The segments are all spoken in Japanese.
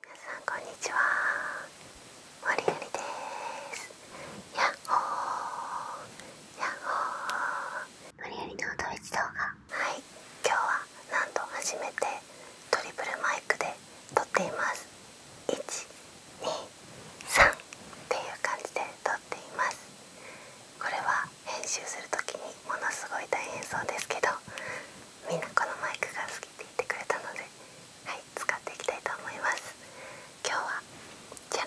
皆さんこんにちはマリナリですやっほーやっほーマリナ動画はい今日はなんと初めてトリプルマイクで撮っています1、2、3っていう感じで撮っていますこれは編集するとにものすごい大変そうですけどみんなこのマイクが気ってくれたのではい使っていきたいと思います今日はじゃ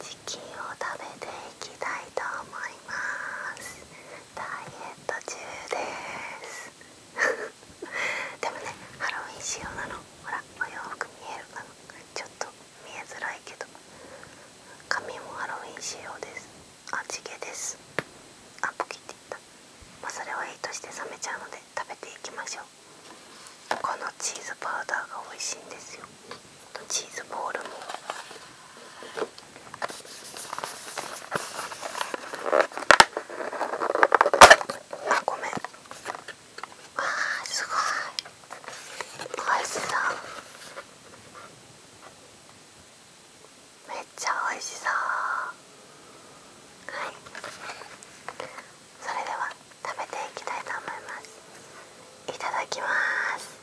チキンを食べていきたいと思いますダイエット中です でもねハロウィン仕様なのほらお洋服見えるかなちょっと見えづらいけど髪もハロウィン仕様ですあ地ですあポキって言った、まあ、それはいいとして冷めちゃうので食べていきましょうこのチーズパウダーが美味しいんですよチーズボールもあごめんあすごいおいしそうめっちゃ美味しそうはいそれでは食べていきたいと思いますいただきます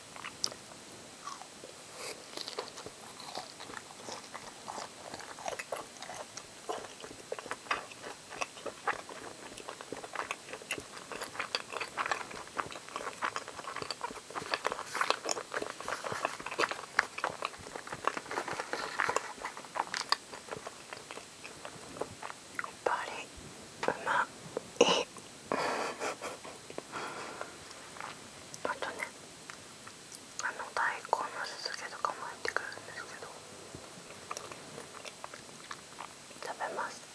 やっぱりうまいあとねあの大根の酢漬けとかも入ってくるんですけど食べます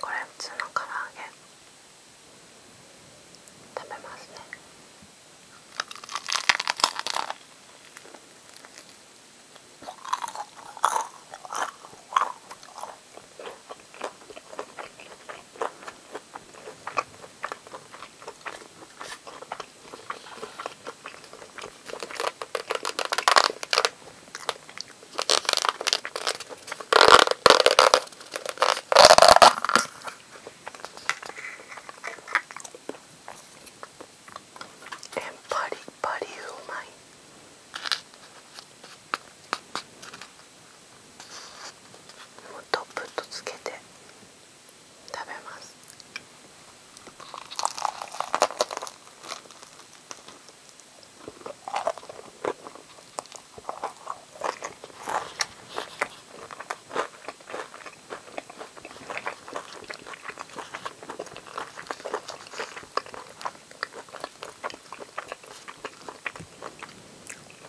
これ普通の唐揚げ食べますねパリパリうまい。もうトップとつけて食べます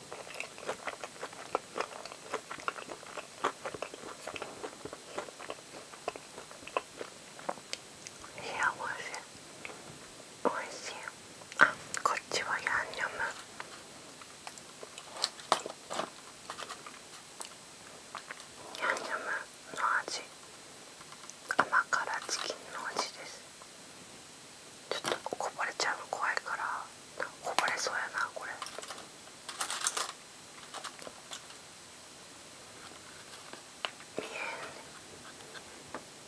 おいしいあこっちはヤンニョムヤンニョムの味甘辛チキンの味ですちょっとこぼれちゃうの怖いからこぼれそうやなこれ。見えんね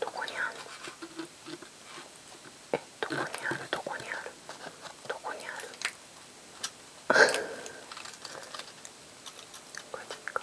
どこにあるえどこにあるどこにあるど こにあるこれでか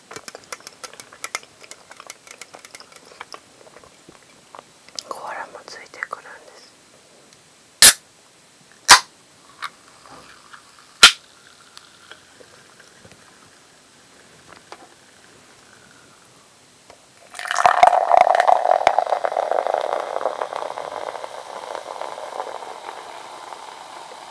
コアラもついてくるんです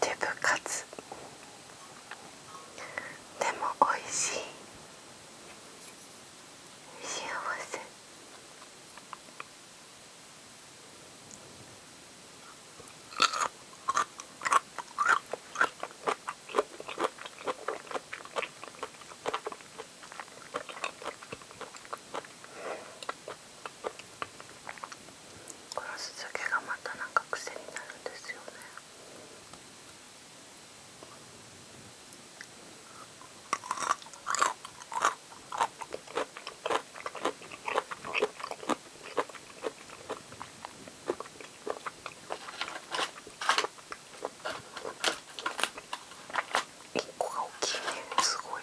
手部活でもおいしい幸せこの酢漬けがまたなんか癖になるんですよね結構大きいねすごい。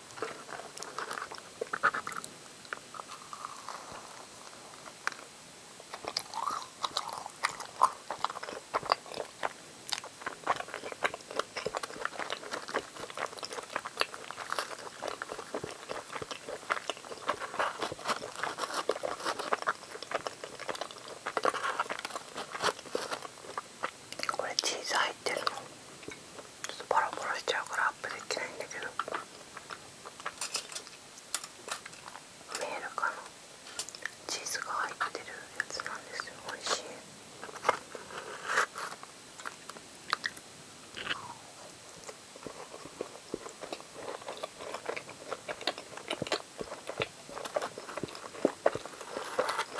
これチーズ入ってるのちょっとボロボロしちゃうからアップできないんだけど見えるかなチーズが入ってるやつなんですよ美味しい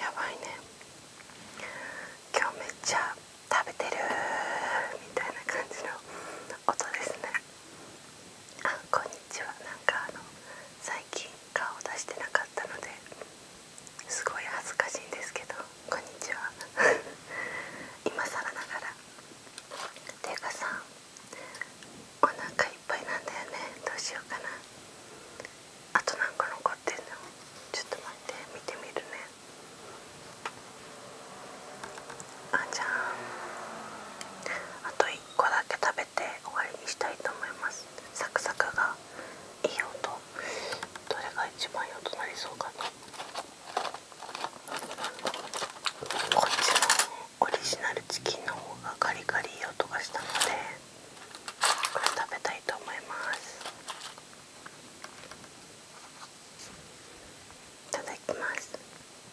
やばいね今日めっちゃ食べてるみたいな感じの音ですねあこんにちは。日かあの最近顔出してなかったのですごい恥ずかしいんですけどこんにちは 今更ながらていうかさお腹いっぱいなんだよねどうしようかなあと何個残ってんのちょっと待って見てみるねあじゃあけ終わりにしたいと思いますサクサクがいい音どれが一番いい音なりそうかなこちのオリジナルチキンの方がガリガリいい音がしたのでこれ食べたいと思いますいただきます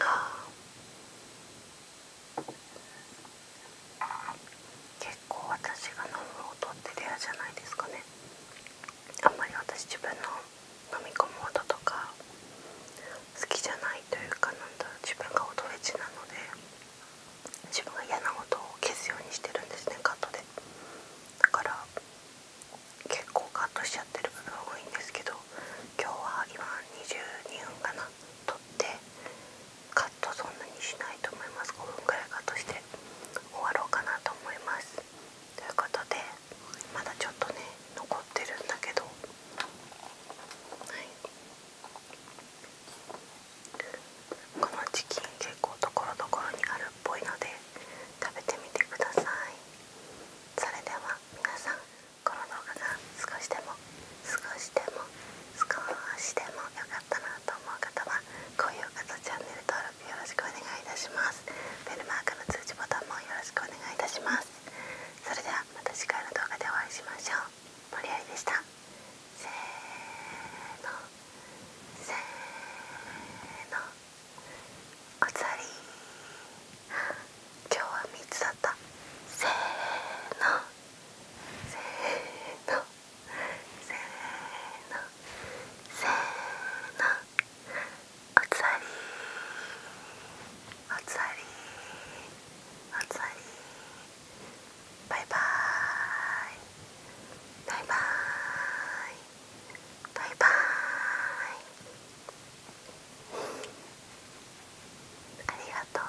ああ。結構私が飲む音ってレアじゃないですかねあんまり私自分の飲み込む音とか好きじゃないというかなんだ自分が音エッジなので自分が嫌な音を消すようにしてるんですねカットでだから結構カットしちゃってる部分多いんですけど今日は今22分かな撮ってカットそんなにしないと思います5分くらいカットして終わろうかなと思いますということでまだちょっとね残ってるんだけどはいこのチキン結構ところどころにあるぽいので食べてみてくださいそれでは皆さんこの動画が少しでも少しでも少しでも良かったなと思う方は高評価とチャンネル登録よろしくお願いいたしますベルマークの通知ボタンもよろしくお願いいたしますそれではまた次回の動画でお会いしましょう森有でしたせーのせーのおつわり今日は3つだったせーのせーのせーのせーのおつわりおつわりおつわりバイバーイバイバイバイバイありがとう